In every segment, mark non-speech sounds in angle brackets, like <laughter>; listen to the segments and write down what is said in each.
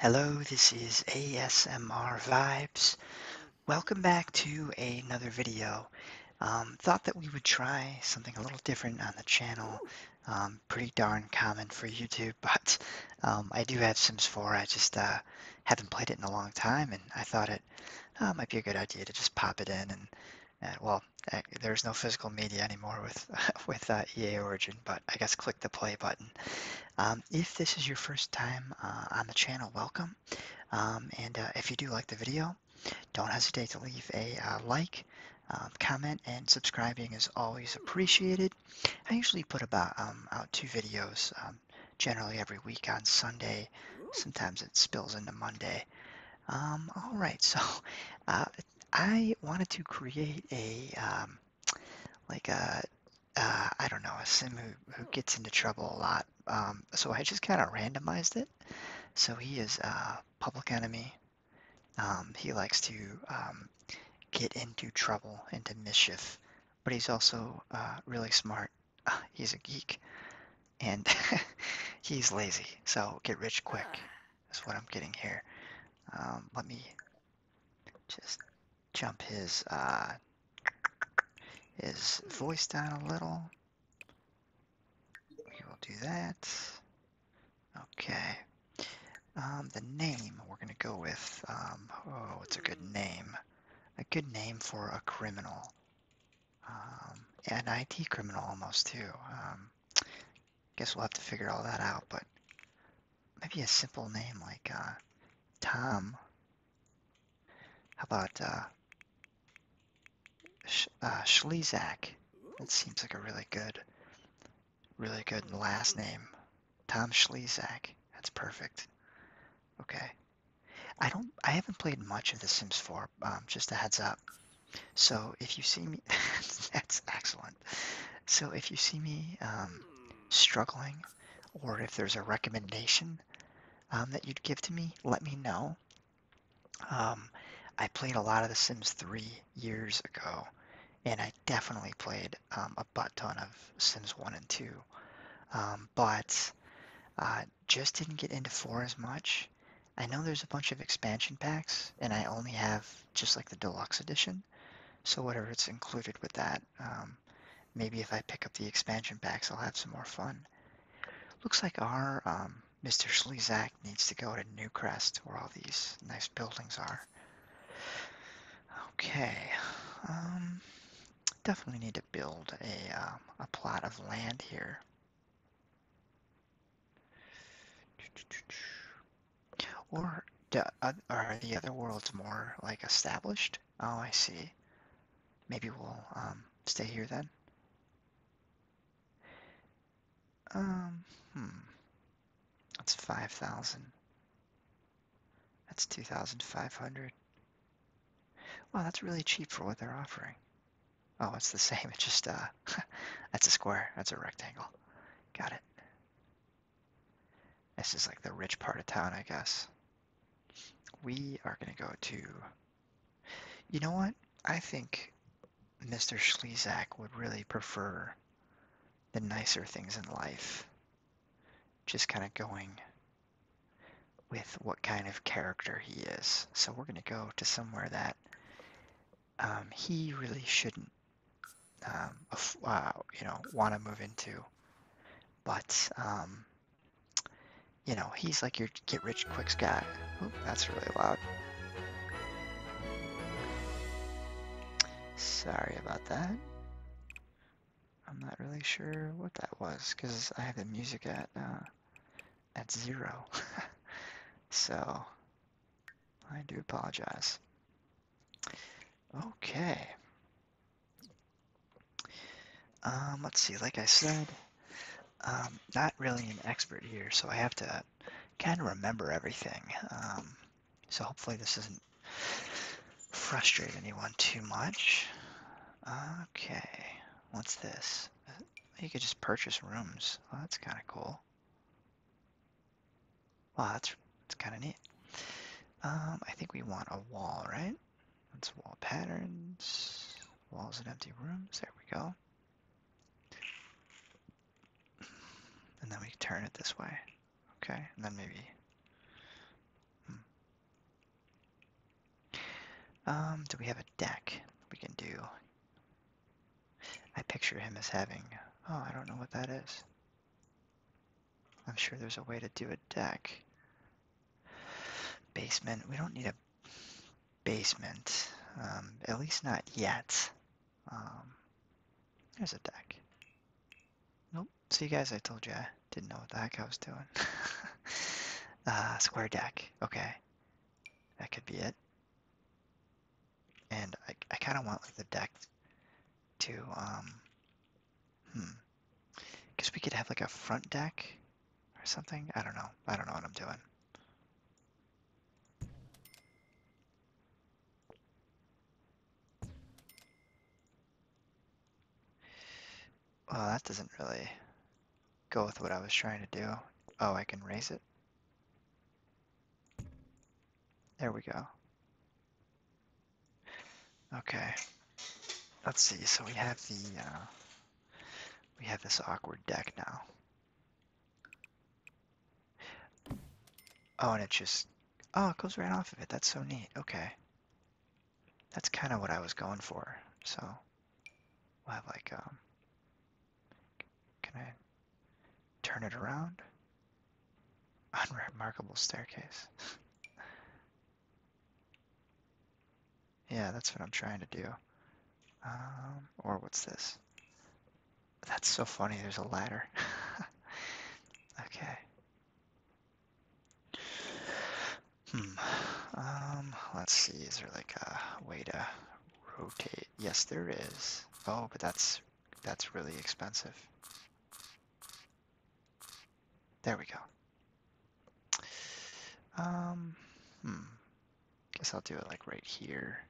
Hello, this is ASMR Vibes. Welcome back to another video. Um, thought that we would try something a little different on the channel. Um, pretty darn common for YouTube, <laughs> but um, I do have Sims 4. I just uh, haven't played it in a long time, and I thought it uh, might be a good idea to just pop it in. And uh, well, there's no physical media anymore with <laughs> with EA Origin, but I guess click the play button. Um, if this is your first time uh, on the channel, welcome. Um, and uh, if you do like the video, don't hesitate to leave a uh, like, um, comment, and subscribing is always appreciated. I usually put about out two videos generally every week on Sunday. Sometimes it spills into Monday. all right, <laughs> so I wanted to create a like a uh, uh, I don't know a sim who, who gets into trouble a lot. Um, so I just kind of randomized it. So he is a public enemy. Um, he likes to um, get into trouble, into mischief, but he's also uh, really smart. <laughs> he's a geek, and <laughs> he's lazy. So get rich quick ah. is what I'm getting here. Um, let me just jump his uh, his voice down a little. We will do that. Okay. Um, the name we're gonna go with. Um, oh, it's a good name. A good name for a criminal. Um, an IT criminal almost too. Um, guess we'll have to figure all that out. But maybe a simple name like uh, Tom. How about uh, It uh, seems like a really good, really good last name. Tom Schlezak. That's perfect. Okay. I don't. I haven't played much of The Sims 4. Um, just a heads up. So if you see me, <laughs> that's excellent. So if you see me um, struggling, or if there's a recommendation um, that you'd give to me, let me know. Um, I played a lot of The Sims 3 years ago, and I definitely played a butt ton of Sims 1 and 2, but uh, just didn't get into 4 as much. I know there's a bunch of expansion packs, and I only have just like the deluxe edition, so whatever it's included with that, um, maybe if I pick up the expansion packs, I'll have some more fun. Looks like our Mr. Um, Slezak needs to go to Newcrest, where all these nice buildings are. Okay, um, definitely need to build a, a plot of land here. Or are the other worlds more like established? Oh, I see. Maybe we'll um, stay here then. Um, hmm. That's 5,000. That's 2,500. Wow, that's really cheap for what they're offering. Oh, it's the <laughs> same. It's just, uh, <laughs> that's a square. That's a rectangle. Got it. This is like the rich part of town, I guess. We are going to go to... You know what? I think Mr. Schlezak would really prefer the nicer things in life. Just kind of going with what kind of character he is. So we're going to go to somewhere that um, he really shouldn't um, uh, you know want to move into. But um, you know he's like your get rich quick guy. Ooh, that's really loud. Sorry about that. I'm not really sure what that was because I have the music at uh, at zero. <laughs> so I do apologize. Okay. Um, let's see, like I said, um, not really an expert here, so I have to kind of remember everything. Um, so hopefully this does not frustrate anyone too much. Okay, what's this? Uh, you could just purchase rooms. that's kind of cool. Wow, that's, that's kind of neat. Um, I think we want a wall, right? That's wall patterns, walls and empty rooms. There we go. And then we turn it this way. Okay, and then maybe... Hmm. Um, do we have a deck we can do? I picture him as having... Oh, I don't know what that is. I'm sure there's a way to do a deck. Basement. We don't need a basement. Um, at least not yet. Um, there's a deck. Nope. See, you guys, I told you I didn't know what the heck I was doing. <laughs> Uh, square deck. Okay. That could be it and I, I kind of want the deck to um hmm guess we could have like a front deck or something I don't know I don't know what I'm doing well that doesn't really go with what I was trying to do oh I can raise it there we go. Okay. Let's see. So we have the uh, we have this awkward deck now. Oh, and it just oh, it goes right off of it. That's so neat. Okay. That's kind of what I was going for. So we have like um. Can I Turn it around. Unremarkable staircase. <laughs> yeah, that's what I'm trying to do. Um, or what's this? That's so funny, there's a ladder. <laughs> okay. Hmm. Um, let's see, is there like a way to rotate? Yes, there is. Oh, but that's that's really expensive. There we go. Um, hmm. Guess I'll do it like right here.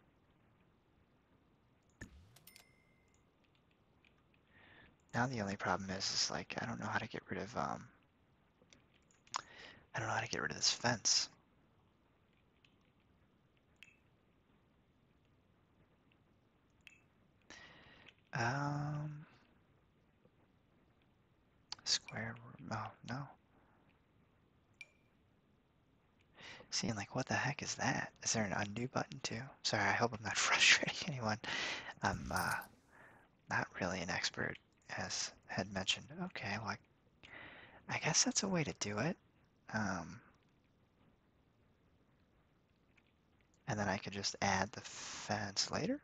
Now the only problem is, is like, I don't know how to get rid of, um, I don't know how to get rid of this fence. Um, square oh no. Seeing like, what the heck is that? Is there an undo button too? Sorry, I hope I'm not <laughs> frustrating anyone. I'm uh, not really an expert, as had mentioned. Okay, like, I, I guess that's a way to do it. Um, and then I could just add the fence later.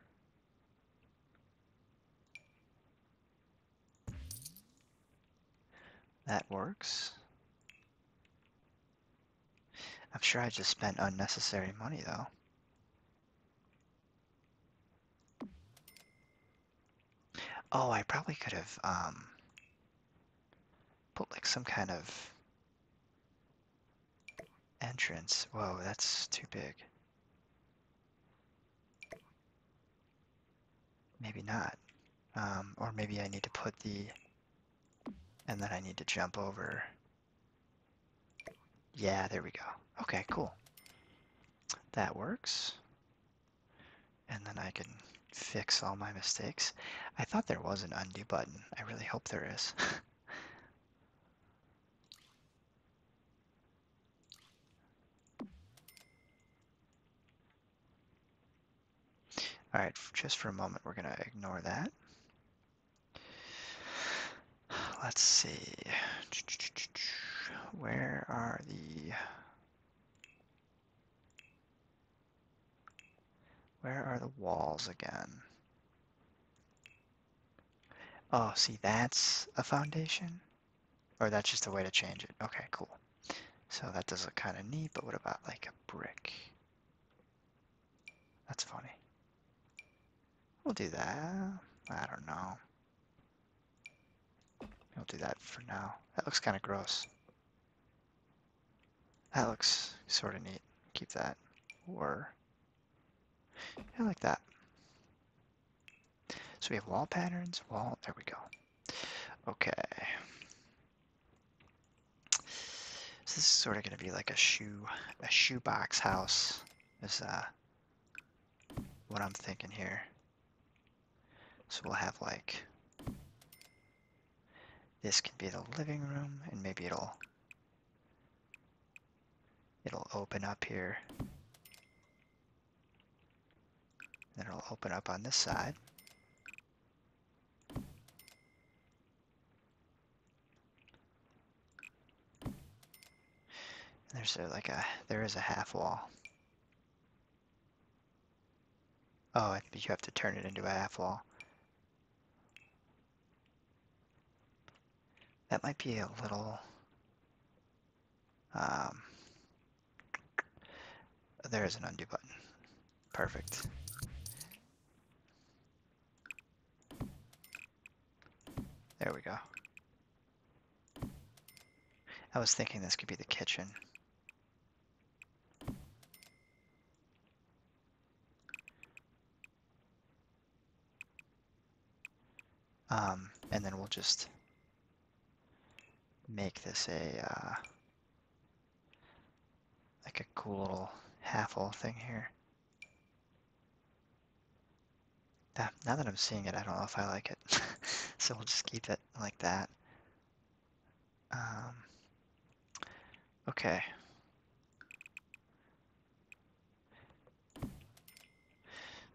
That works. I'm sure I just spent unnecessary money though. Oh, I probably could have um, put like some kind of Entrance. Whoa, that's too big. Maybe not. Um, or maybe I need to put the... And then I need to jump over. Yeah, there we go. Okay, cool. That works. And then I can fix all my mistakes. I thought there was an undo button. I really hope there is. <laughs> all right, just for a moment, we're going to ignore that. Let's see. Where are the where are the walls again? Oh, see, that's a foundation? Or that's just a way to change it. Okay, cool. So that does look kind of neat, but what about like a brick? That's funny. We'll do that. I don't know. We'll do that for now. That looks kind of gross. That looks sort of neat. Keep that. Or, I like that. So we have wall patterns, wall, there we go. Okay. So this is sort of going to be like a shoe, a shoebox house is uh, what I'm thinking here. So we'll have like this can be the living room, and maybe it'll it'll open up here. Then it'll open up on this side. there's like a there is a half wall. Oh, you have to turn it into a half wall. That might be a little... Um, there is an undo button. Perfect. There we go. I was thinking this could be the kitchen. Um, and then we'll just make this a, uh, like a cool little half-hole thing here. now that I'm seeing it, I don't know if I like it. <laughs> so we'll just keep it like that. Um, okay.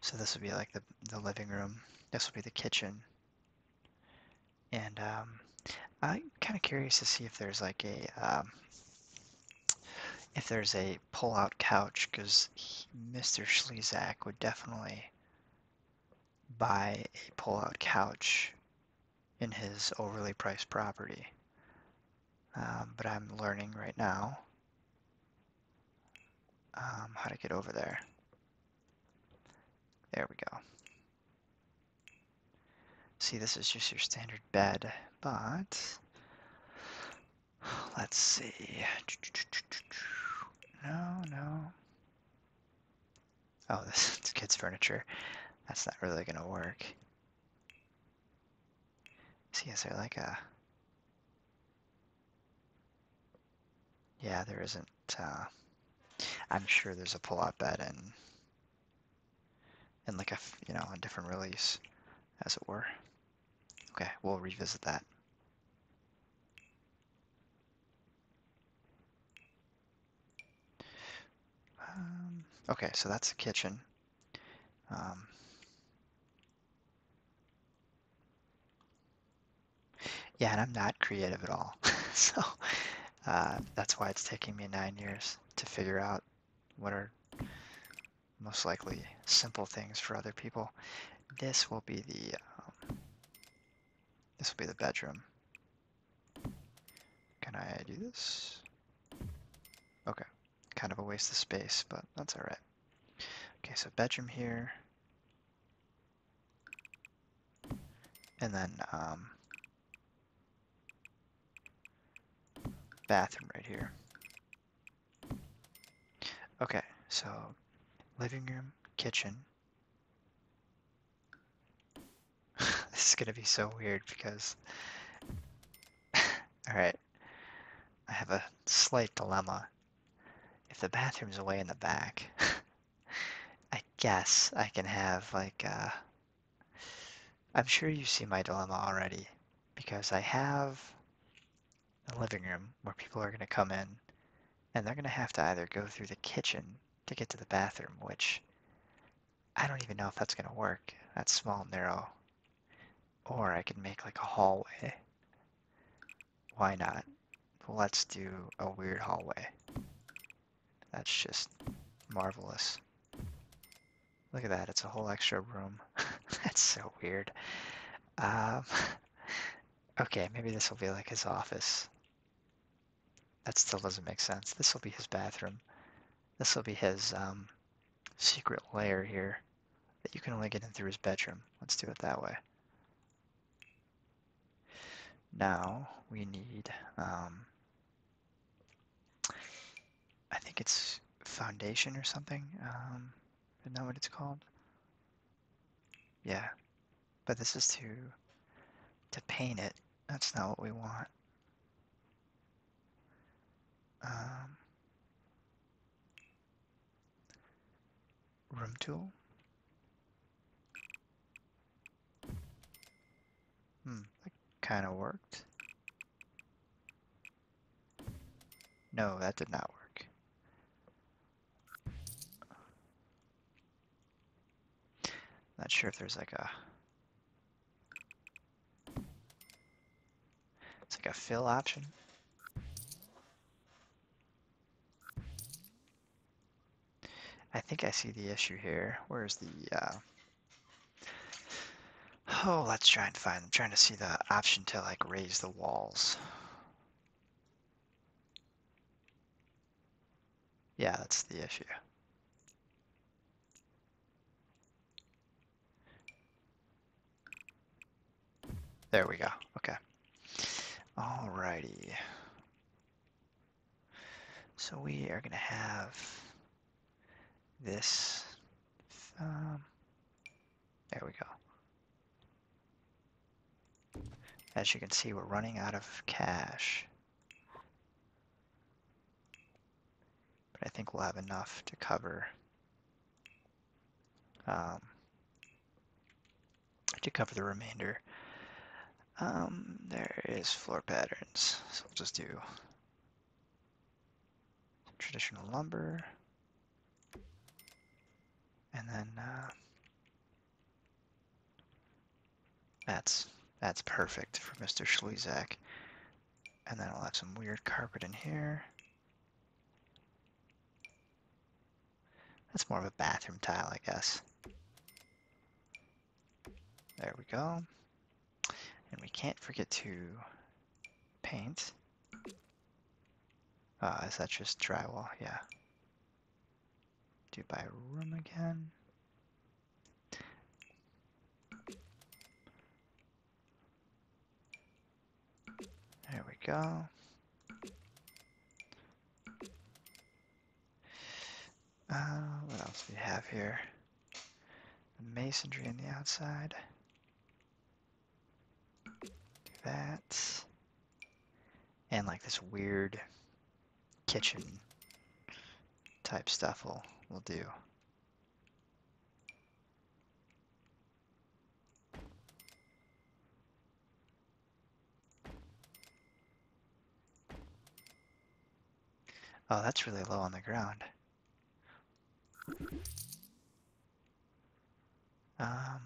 So this would be like the, the living room. This would be the kitchen. And um, I'm kind of curious to see if there's like a um, if there's a pull-out couch because Mr. Schlezak would definitely buy a pull-out couch in his overly priced property. Um, but I'm learning right now um, how to get over there. There we go. See, this is just your standard bed, but let's see. <sniffs> No, no. Oh, this <laughs> it's kids' furniture. That's not really gonna work. See, is there like a... Yeah, there isn't, uh, I'm sure there's a pull-out bed and... And like a, you know, a different release, as it were. Okay, we'll revisit that. Um, okay, so that's the kitchen. Um, yeah, and I'm not creative at all. <laughs> so uh, that's why it's taking me nine years to figure out what are most likely simple things for other people. This will be the um, this will be the bedroom. Can I do this? Okay, kind of a waste of space, but that's all right. Okay, so bedroom here. And then, um, bathroom right here. Okay, so living room, kitchen, <laughs> this is gonna be so weird because. <laughs> Alright. I have a slight dilemma. If the bathroom's away in the back, <laughs> I guess I can have, like, uh. I'm sure you see my dilemma already because I have a living room where people are gonna come in and they're gonna have to either go through the kitchen to get to the bathroom, which I don't even know if that's gonna work. That's small and narrow. Or I could make like a hallway. Why not? Let's do a weird hallway. That's just marvelous. Look at that, it's a whole extra room. <laughs> That's so weird. Um, <laughs> okay, maybe this will be like his office. That still doesn't make sense. This will be his bathroom. This will be his um, secret lair here that you can only get in through his bedroom. Let's do it that way. Now we need, um, I think it's foundation or something. Um, isn't that what it's called? Yeah, but this is to to paint it that's not what we want. Um, room tool. Hmm, that kind of worked. No, that did not work. Not sure if there's like a It's like a fill option. I think I see the issue here. Where's the, uh, Oh, let's try and find, I'm trying to see the option to like raise the walls. Yeah, that's the issue. There we go. Okay. Alrighty. So we are going to have this. Um, there we go. As you can see, we're running out of cash. But I think we'll have enough to cover um, to cover the remainder. Um, there is floor patterns, so we'll just do traditional lumber, and then uh, that's that's perfect for Mr. Schlesak. And then I'll have some weird carpet in here. That's more of a bathroom tile, I guess. There we go. And we can't forget to paint. Ah, is that just drywall? Yeah. Do by room again. There we go. Uh, what else do we have here? masonry on the outside. Do that. And like this weird kitchen type stuff will, will do. Oh, that's really low on the ground. Um,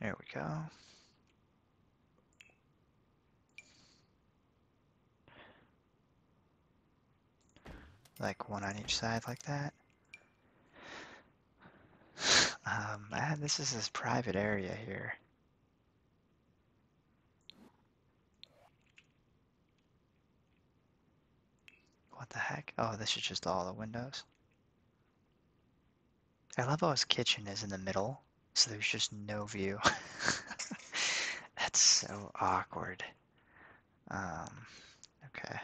there we go. Like one on each side like that. <sighs> Um, ah, this is this private area here. What the heck? Oh, this is just all the windows. I love how his kitchen is in the middle, so there's just no view. <laughs> That's so awkward. Um, okay.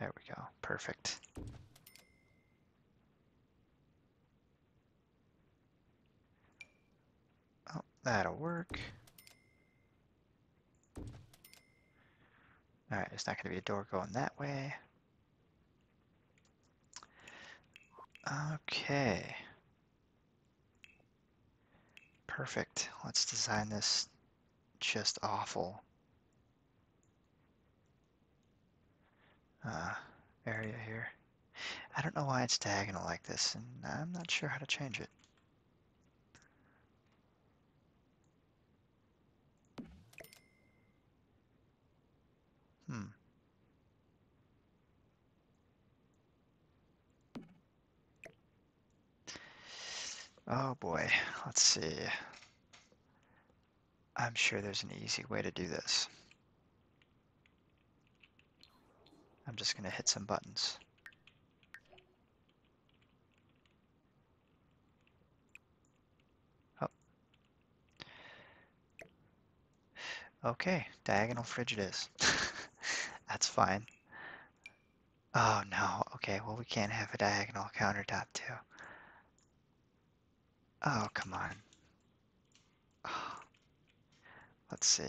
There we go. Perfect. Oh, that'll work. Alright, it's not going to be a door going that way. Okay. Perfect. Let's design this just awful uh, area here. I don't know why it's diagonal like this, and I'm not sure how to change it. Hmm. Oh boy, let's see. I'm sure there's an easy way to do this. I'm just going to hit some buttons. Oh. Okay, diagonal fridge it is. <laughs> That's fine. Oh no, okay, well we can't have a diagonal countertop too. Oh, come on. <sighs> Let's see.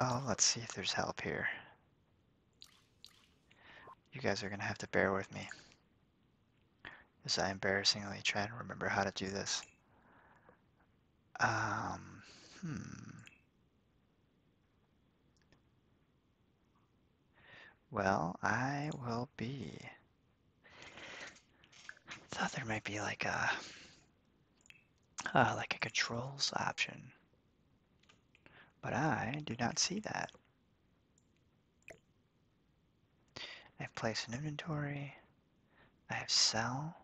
Oh, let's see if there's help here. You guys are going to have to bear with me. As I embarrassingly try to remember how to do this. Um, hmm. Well, I will be I thought there might be like a uh, like a controls option, but I do not see that. I have place an inventory. I have sell.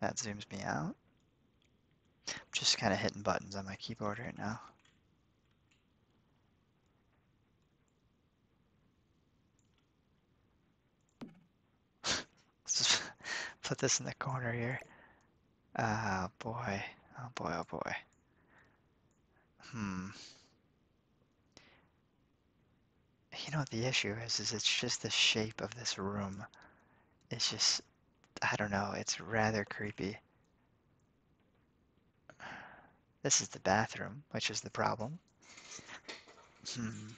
That zooms me out. I'm just kind of hitting buttons on my keyboard right now. <laughs> put this in the corner here. Oh boy, oh boy, oh boy. Hmm. You know what the issue is, is it's just the shape of this room. It's just, I don't know, it's rather creepy. This is the bathroom, which is the problem. Hmm.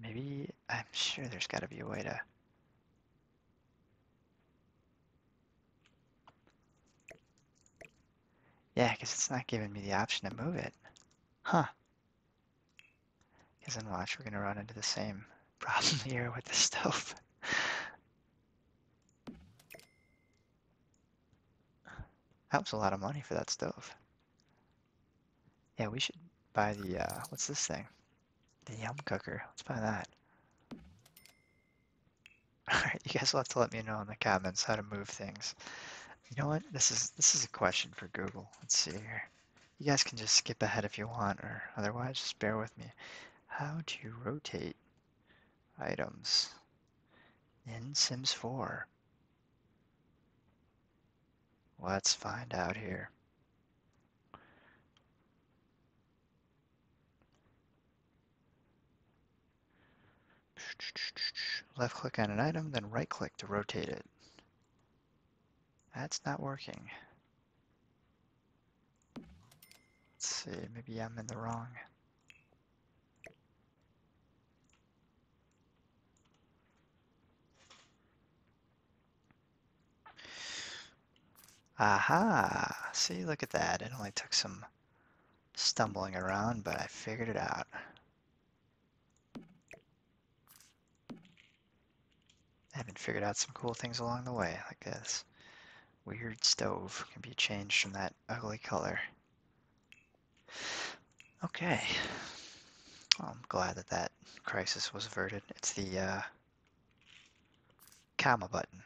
Maybe, I'm sure there's got to be a way to... Yeah, because it's not giving me the option to move it. Huh. Because then watch, we're going to run into the same <laughs> problem here with the stove. that was <laughs> a lot of money for that stove. Yeah, we should buy the, uh, what's this thing? The yum cooker. Let's buy that. <laughs> Alright, you guys will have to let me know in the comments how to move things. You know what? This is this is a question for Google. Let's see here. You guys can just skip ahead if you want, or otherwise just bear with me. How do you rotate items in Sims 4? Let's find out here. Left click on an item, then right click to rotate it. That's not working. Let's see, maybe I'm in the wrong. Aha! See, look at that. It only took some stumbling around, but I figured it out. I haven't figured out some cool things along the way, like this weird stove can be changed from that ugly color. Okay. I'm glad that that crisis was averted. It's the uh, comma button.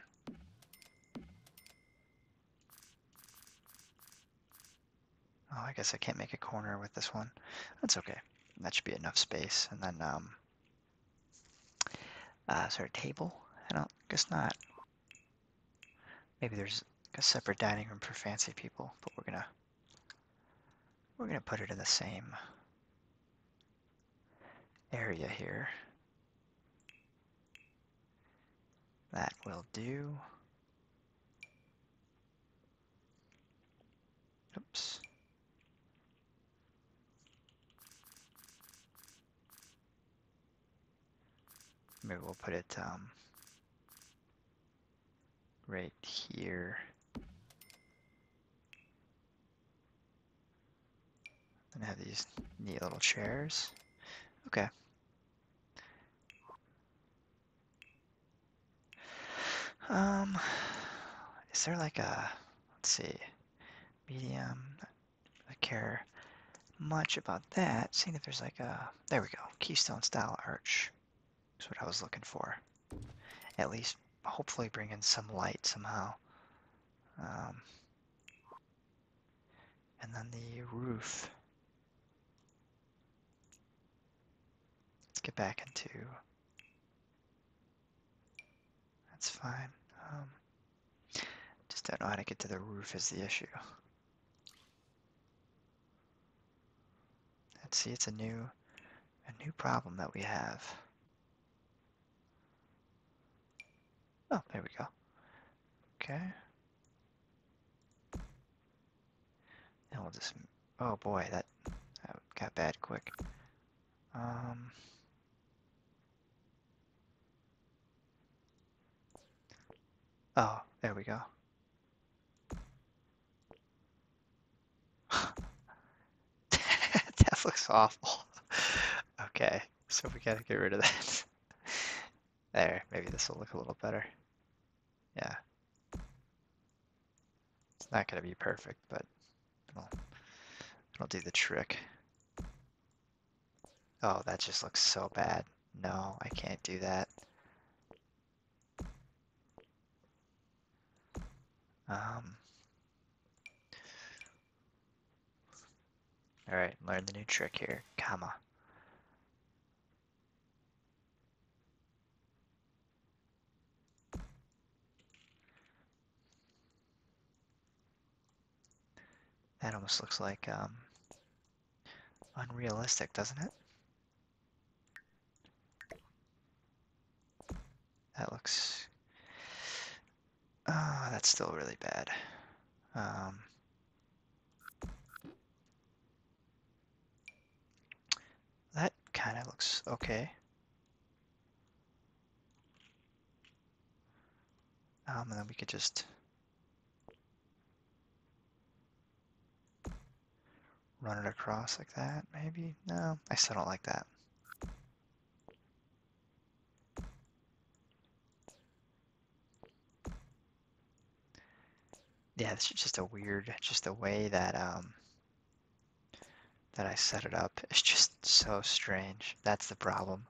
Oh, I guess I can't make a corner with this one. That's okay. That should be enough space. And then, um, uh, sorry, table? I don't, guess not. Maybe there's a separate dining room for fancy people, but we're gonna, we're gonna put it in the same area here. That will do. Oops. Maybe we'll put it um, right here. And have these neat little chairs. Okay. Um, is there like a, let's see, medium? I care much about that. Seeing if there's like a, there we go, keystone style arch. That's what I was looking for. At least, hopefully, bring in some light somehow. Um, and then the roof. Let's get back into. That's fine. Um, just don't know how to get to the roof is the issue. Let's see, it's a new, a new problem that we have. Oh, there we go. Okay. And we'll just, oh boy, that, that got bad quick. Um, oh, there we go. <laughs> that looks awful. <laughs> okay, so we gotta get rid of that. <laughs> there, maybe this will look a little better yeah. It's not going to be perfect, but it'll, do the trick. Oh, that just looks so bad. No, I can't do that. Um, all right, learn the new trick here, comma. That almost looks like um, unrealistic, doesn't it? That looks... Oh, that's still really bad. Um, that kind of looks okay. Um, and then we could just run it across like that, maybe? No, I still don't like that yeah, it's just a weird, just the way that um, that I set it up. is just so strange. That's the problem.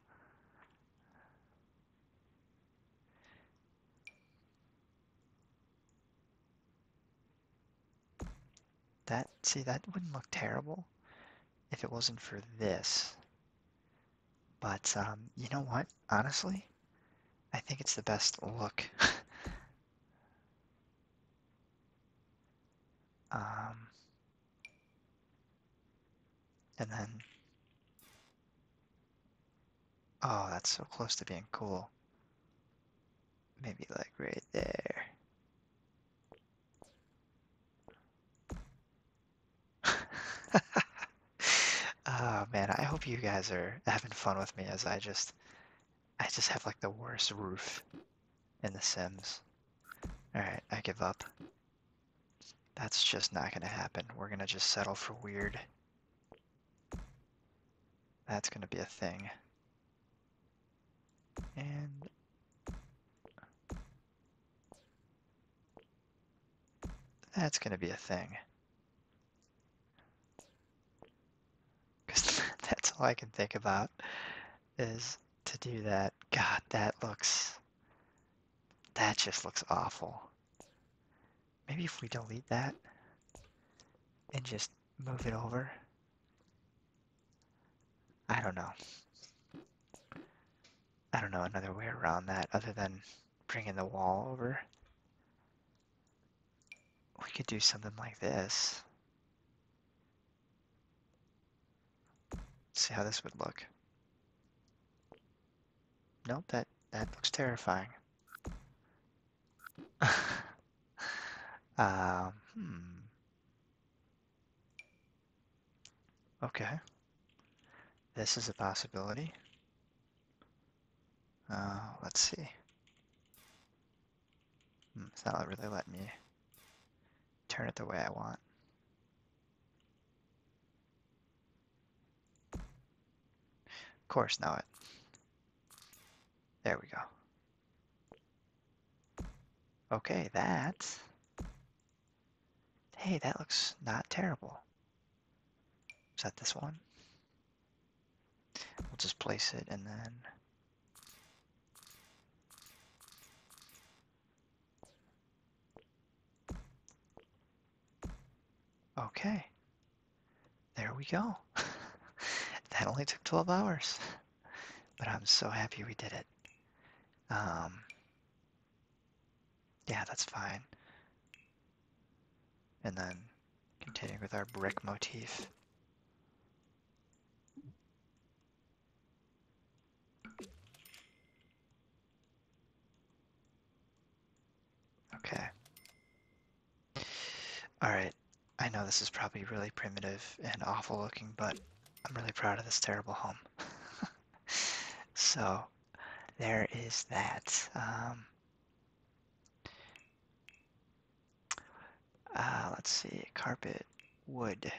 That, see, that wouldn't look terrible if it wasn't for this. But, um, you know what? Honestly, I think it's the best look. <laughs> um, and then, oh, that's so close to being cool. Maybe like right there. <laughs> oh man, I hope you guys are having fun with me as I just I just have like the worst roof in the Sims. Alright, I give up. That's just not gonna happen. We're gonna just settle for weird. That's gonna be a thing. And that's gonna be a thing. Because <laughs> that's all I can think about is to do that. God, that looks. That just looks awful. Maybe if we delete that and just move it over. I don't know. I don't know another way around that other than bringing the wall over we could do something like this. see how this would look. Nope, that, that looks terrifying. <laughs> um, hmm. Okay. This is a possibility. Uh, let's see. Hmm, it's not really let me turn it the way I want. Of course, now it. There we go. Okay, that. Hey, that looks not terrible. Is that this one? We'll just place it and then... Okay. There we go. <laughs> that only took 12 hours. <laughs> But I'm so happy we did it. Um, yeah, that's fine. And then continuing with our brick motif. Okay. Alright, I know this is probably really primitive and awful looking, but I'm really proud of this terrible home. <laughs> so, there is that. Um, uh, let's see, carpet, wood.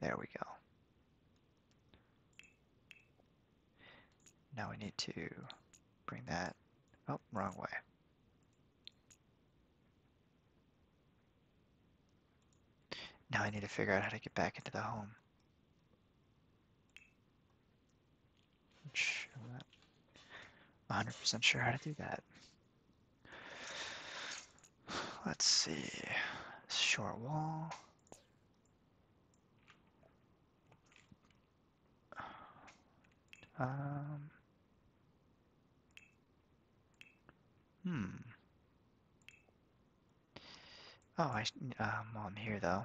There we go. Now we need to bring that, oh, wrong way. Now I need to figure out how to get back into the home. Which 100% sure how to do that. Let's see. Short wall. Um. Hmm. Oh, I, um, I'm here though.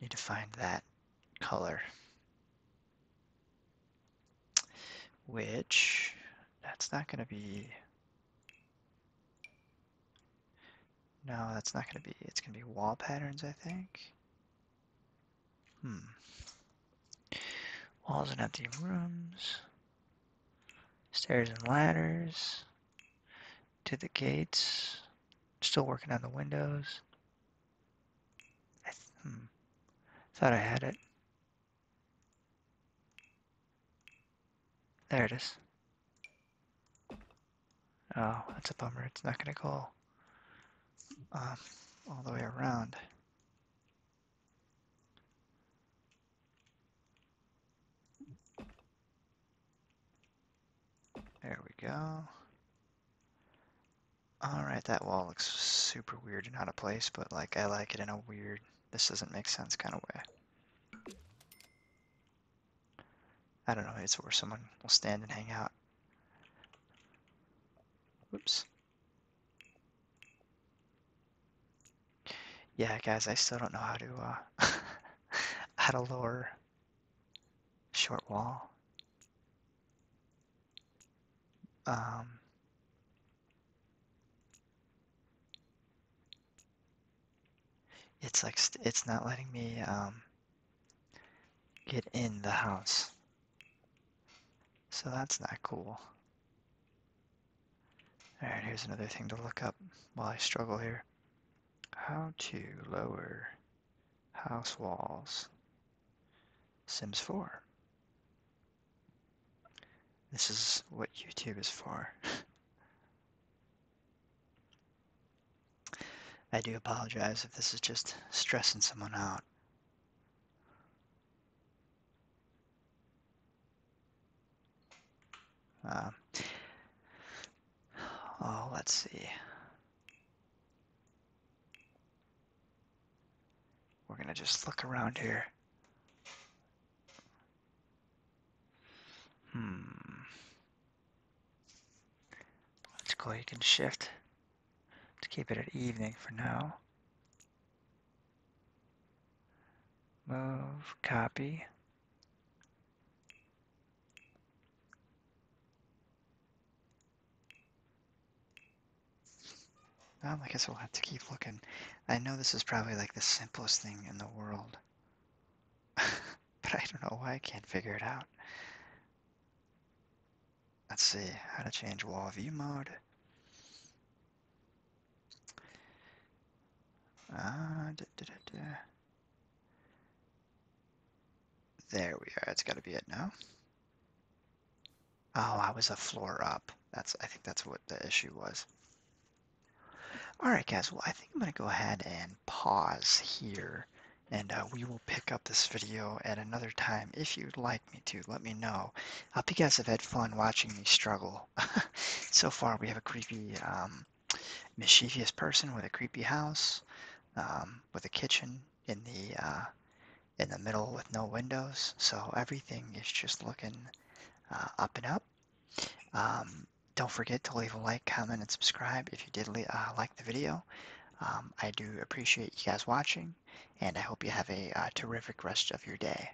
Need to find that color. Which, that's not going to be, no, that's not going to be, it's going to be wall patterns, I think. Hmm. Walls and empty rooms. Stairs and ladders to the gates. Still working on the windows. I hmm. Thought I had it. There it is. Oh, that's a bummer. It's not going to go um, all the way around. There we go. Alright, that wall looks super weird and out of place, but like I like it in a weird, this doesn't make sense kind of way. I don't know, it's where someone will stand and hang out. Whoops. Yeah, guys, I still don't know how to uh, add <laughs> a lower short wall. Um, it's like it's not letting me um, get in the house, so that's not cool. Alright, here's another thing to look up while I struggle here. How to lower house walls. Sims 4. This is what YouTube is for. <laughs> I do apologize if this is just stressing someone out. Uh, oh, let's see. We're going to just look around here. Hmm. Let's go You can shift to keep it at evening for now. Move, copy. I guess we'll have to keep looking. I know this is probably like the simplest thing in the world. <laughs> but I don't know why I can't figure it out. Let's see, how to change wall view mode. Ah, there we are. it has got to be it now. Oh, I was a floor up. That's I think that's what the issue was. All right, guys. Well, I think I'm going to go ahead and pause here, and uh, we will pick up this video at another time. If you'd like me to, let me know. I hope you guys have had fun watching me struggle. <laughs> so far, we have a creepy um, mischievous person with a creepy house, um, with a kitchen in the uh, in the middle with no windows. So everything is just looking uh, up and up. Um, don't forget to leave a like, comment, and subscribe if you did uh, like the video. Um, I do appreciate you guys watching, and I hope you have a terrific rest of your day.